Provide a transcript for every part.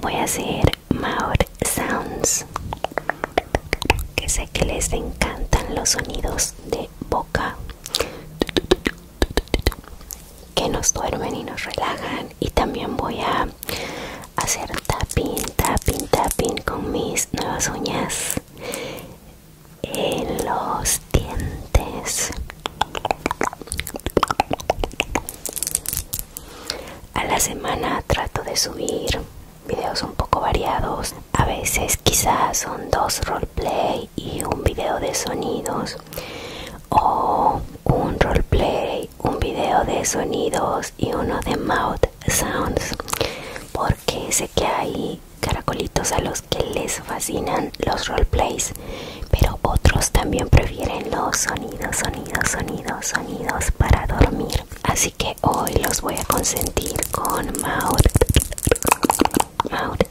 voy a hacer mouth sounds que sé que les encantan los sonidos de boca que nos duermen y nos relajan y también voy a hacer tapping, tapping, tapping con mis nuevas uñas en los dientes. A la semana trato de subir videos un poco variados. A veces quizás son dos roleplay y un video de sonidos. O un roleplay, un video de sonidos y uno de mouth Sounds porque sé que hay caracolitos a los que les fascinan los roleplays pero otros también prefieren los sonidos sonidos sonidos sonidos para dormir así que hoy los voy a consentir con mouth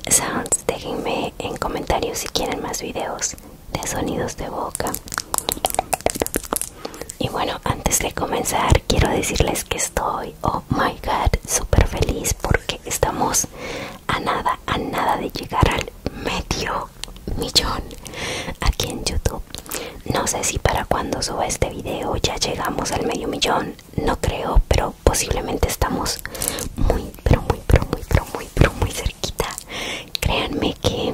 sounds déjenme en comentarios si quieren más videos de sonidos de boca y bueno, antes de comenzar quiero decirles que estoy, oh my god, súper feliz porque estamos a nada, a nada de llegar al medio millón aquí en YouTube. No sé si para cuando suba este video ya llegamos al medio millón, no creo, pero posiblemente estamos muy, pero muy, pero muy, pero muy, pero muy cerquita. Créanme que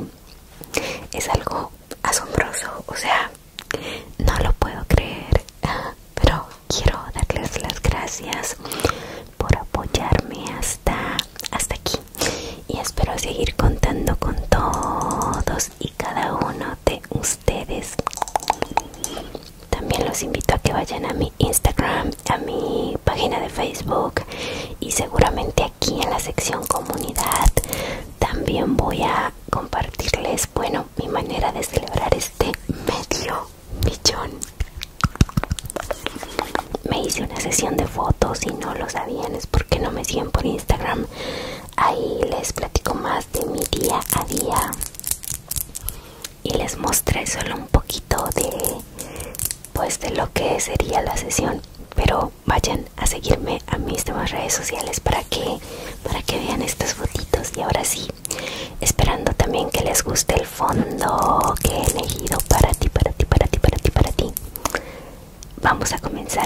es algo asombroso, o sea, no lo puedo creer, ah, pero quiero darles las gracias por apoyarme hasta, hasta aquí y espero seguir contando con todos y cada uno de ustedes. También los invito a que vayan a mi Instagram, a mi página de Facebook y seguramente aquí en la sección comunidad también voy a compartirles, bueno, mi manera de celebrar este medio millón. Me hice una sesión de fotos y no lo sabían, es porque no me siguen por Instagram. Ahí les platico más de mi día a día y les mostré solo un poquito de pues de lo que sería la sesión pero vayan a seguirme a mis demás redes sociales para que para que vean estas fotitos y ahora sí esperando también que les guste el fondo que he elegido para ti para ti para ti para ti para ti vamos a comenzar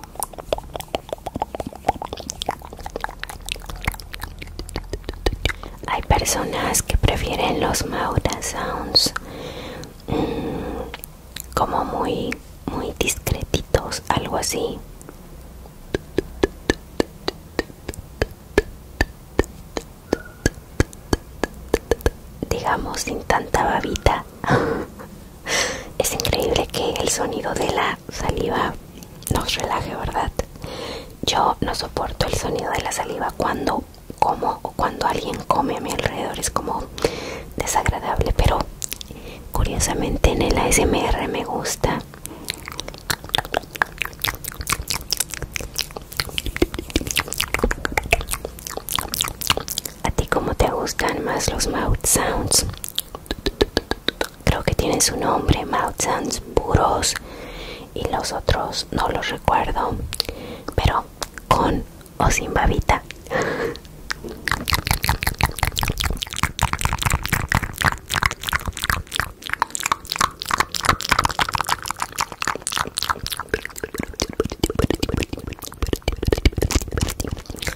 Hay personas que prefieren los Maura Sounds mm, como muy, muy discretitos, algo así. Digamos sin tanta babita. Es increíble que el sonido de la saliva nos relaje, ¿verdad? Yo no soporto el sonido de la saliva cuando como o cuando alguien come a mi alrededor. Es como desagradable, pero curiosamente en el ASMR me gusta. ¿A ti cómo te gustan más los mouth sounds? Creo que tienen su nombre, mouth sounds puros y los otros no los recuerdo, pero con o sin babita.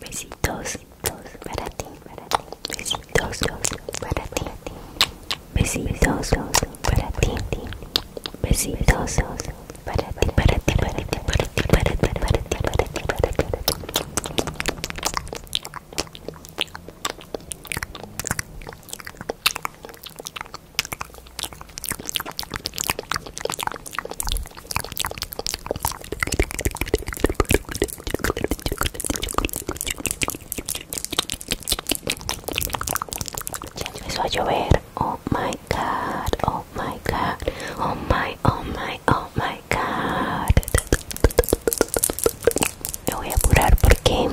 Besitos para ti, para ti. Besitos para ti. Besitos para ti. Besitos para ti, para ti, para ti, para ti, para ti, para ti, para ti, para ti empezó a llover. Oh my god, oh my god, oh my, oh my, oh my god. Me voy a apurar porque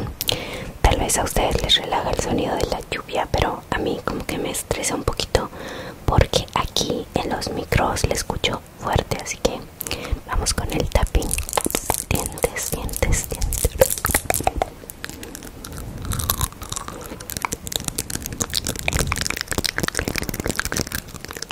tal vez a ustedes les relaja el sonido de la lluvia, pero a mí como que me estresa un poquito porque aquí en los micros le escucho fuerte, así que vamos con el tapping. dientes, dientes.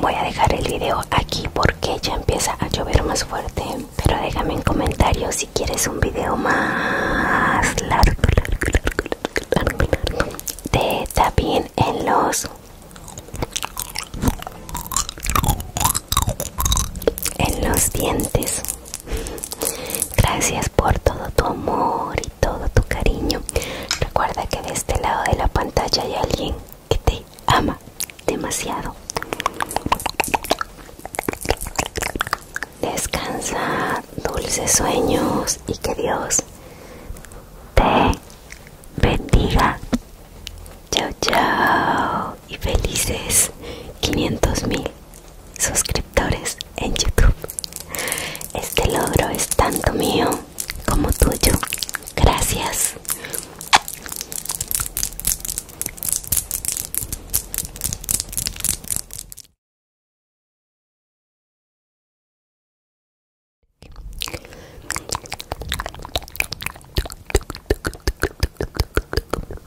Voy a dejar el video aquí porque ya empieza a llover más fuerte. Pero déjame en comentarios si quieres un video más largo, de tapín en los en los dientes Gracias por todo tu amor y todo tu cariño. Recuerda que de este lado de la pantalla hay alguien que te ama demasiado. Descansa, dulces sueños y que Dios te bendiga. Chao, chao y felices 500 mil suscriptores en YouTube. Este logro es tanto mío como tuyo. Gracias.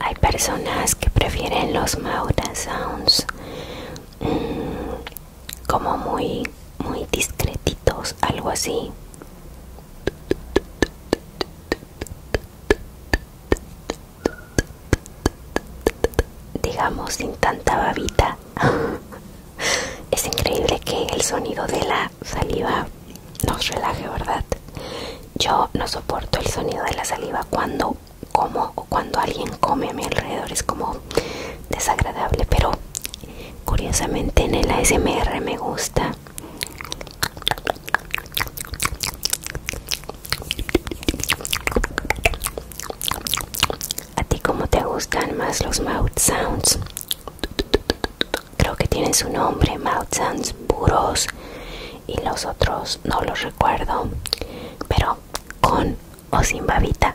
Hay personas que prefieren los Maura Sounds mm, como muy, muy discretitos, algo así. Digamos sin tanta babita. es increíble que el sonido de la saliva nos relaje, ¿verdad? Yo no soporto el sonido de la saliva cuando como o cuando alguien come a mi alrededor es como desagradable pero curiosamente en el ASMR me gusta a ti como te gustan más los mouth sounds creo que tienen su nombre mouth sounds puros y los otros no lo recuerdo pero con o sin babita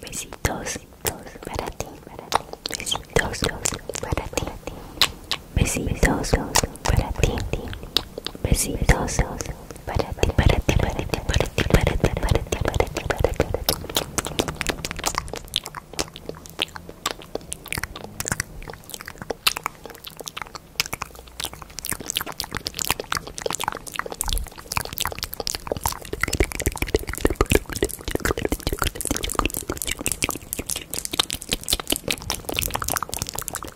Besitos para ti, para ti. Besitos para para ti. Besitos para ti, para ti, para ti, para ti, para ti, para ti, para ti, para ti, para ti.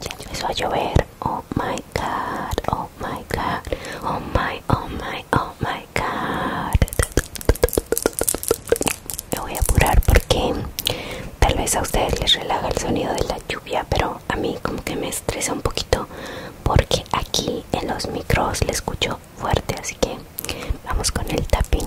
Ya empezó a llover. Oh my god, oh my god, oh my, oh my, oh my god. Me voy a apurar porque tal vez a ustedes les relaja el sonido de la lluvia, pero a mí como que me estresa un poquito porque aquí en los micros le escucho fuerte, así que vamos con el tapping.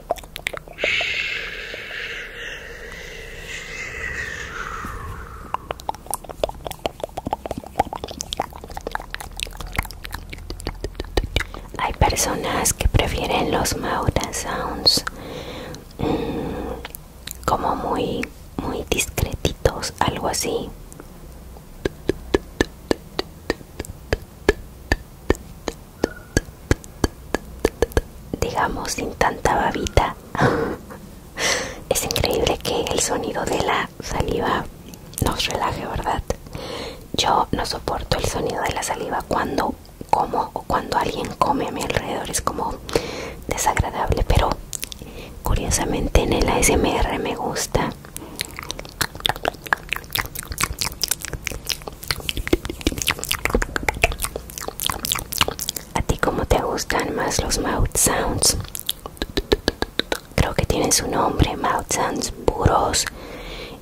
Hay personas que prefieren los mouth Sounds mm, como muy, muy discretitos, algo así digamos sin tanta babita es increíble que el sonido de la saliva nos relaje verdad yo no soporto el sonido de la saliva cuando como o cuando alguien come a mi alrededor es como desagradable pero curiosamente en el ASMR me gusta ¿A ti cómo te gustan más los mouth sounds? Creo que tienen su nombre, mouth sounds puros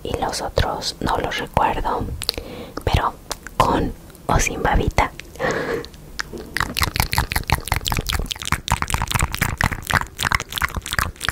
y los otros no los recuerdo, pero con o sin babita.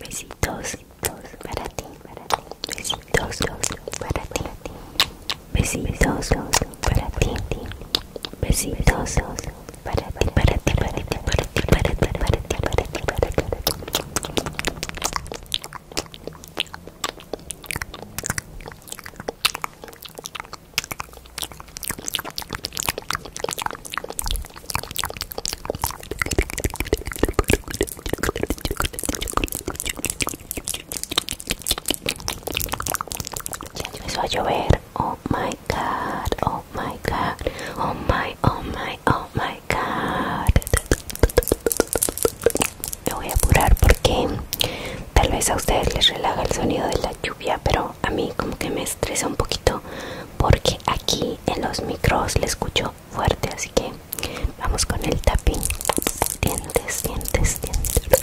Besitos para ti, para ti. Besitos para para ti. Besitos para ti, besitos para ti, para ti, para ti, para ti, para ti, para para ti, para ti. Ya empezó a llover oh my god, oh my god, oh my, oh my, oh my god. Me voy a apurar porque tal vez a ustedes les relaja el sonido de la lluvia, pero a mí como que me estresa un poquito porque aquí en los micros le escucho fuerte, así que vamos con el tapping. Dientes, dientes, dientes.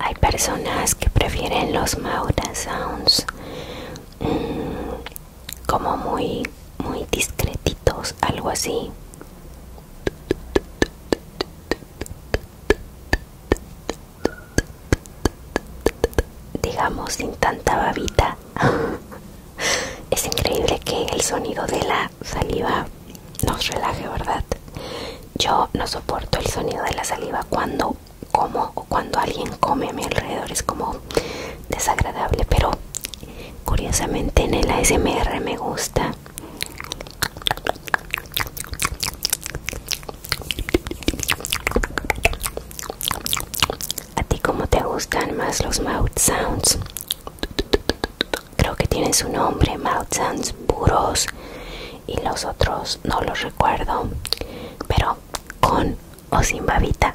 Hay personas que prefieren los Maura Sounds mm, como muy, muy discretitos, algo así. Digamos sin tanta babita. es increíble que el sonido de la saliva nos relaje, ¿verdad? Yo no soporto el sonido de la saliva cuando como o cuando alguien come a mi alrededor, es como desagradable, pero curiosamente en el ASMR me gusta. ¿A ti cómo te gustan más los mouth sounds? Creo que tienen su nombre, mouth sounds puros y los otros no los recuerdo pero con o sin babita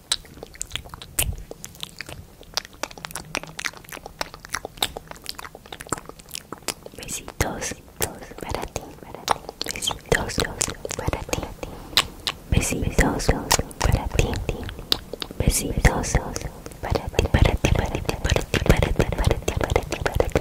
Besitos, para ti, para ti. Besitos, para ti. Besitos, para ti. Besitos, para ti, para ti, para para ti, para ti, para ti, para ti, para ti.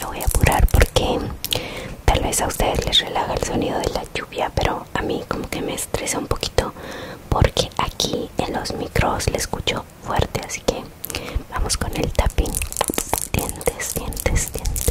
Lo voy a apurar porque tal vez a ustedes les relaja el sonido de la lluvia pero a mí como que me estresa un poquito porque aquí en los micros le escucho fuerte así que vamos con el tapping dientes dientes dientes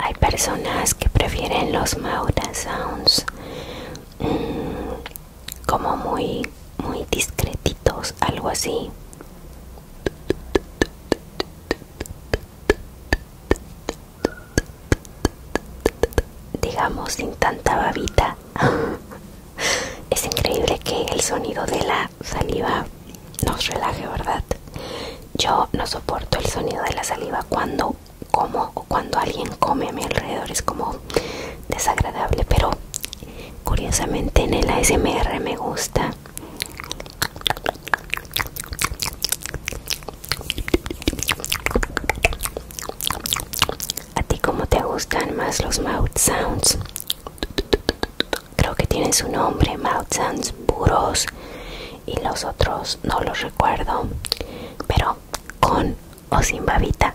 Hay personas que prefieren los Maura Sounds mm, como muy, muy discretitos, algo así digamos sin tanta babita es increíble que el sonido de la saliva nos relaje verdad yo no soporto el sonido de la saliva cuando como o cuando alguien come a mi alrededor es como desagradable pero curiosamente en el ASMR me gusta ¿A ti cómo te gustan más los mouth sounds? Creo que tienen su nombre, mouth sounds puros y los otros no los recuerdo, pero con o sin babita.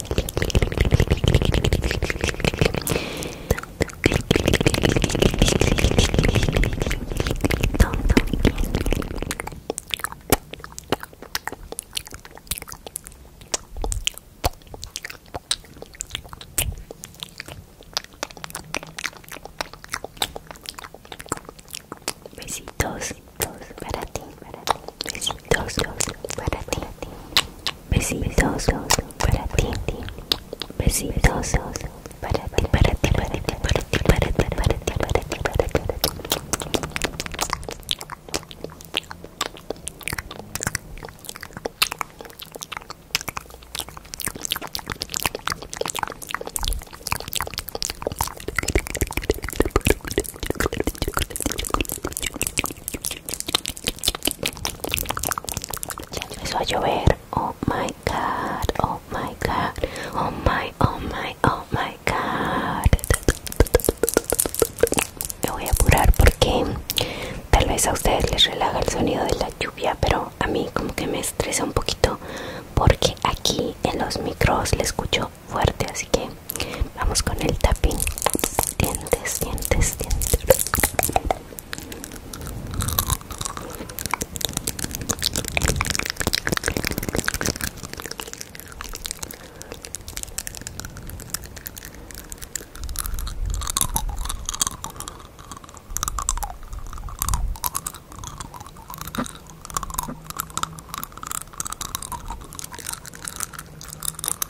Besitos para ti, para ti. Besitos para ti. Besitos para ti. Besitos para ti, para ti, para ti, para ti, para ti, ti, ti, ti. Ya empezó a llover. Oh my god, oh my god, oh my, oh my, oh my god. Me voy a apurar porque tal vez a ustedes les relaja el sonido de la lluvia, pero a mí como que me estresa un poquito porque aquí en los micros le escucho fuerte, así que vamos con el tapping dientes, dientes,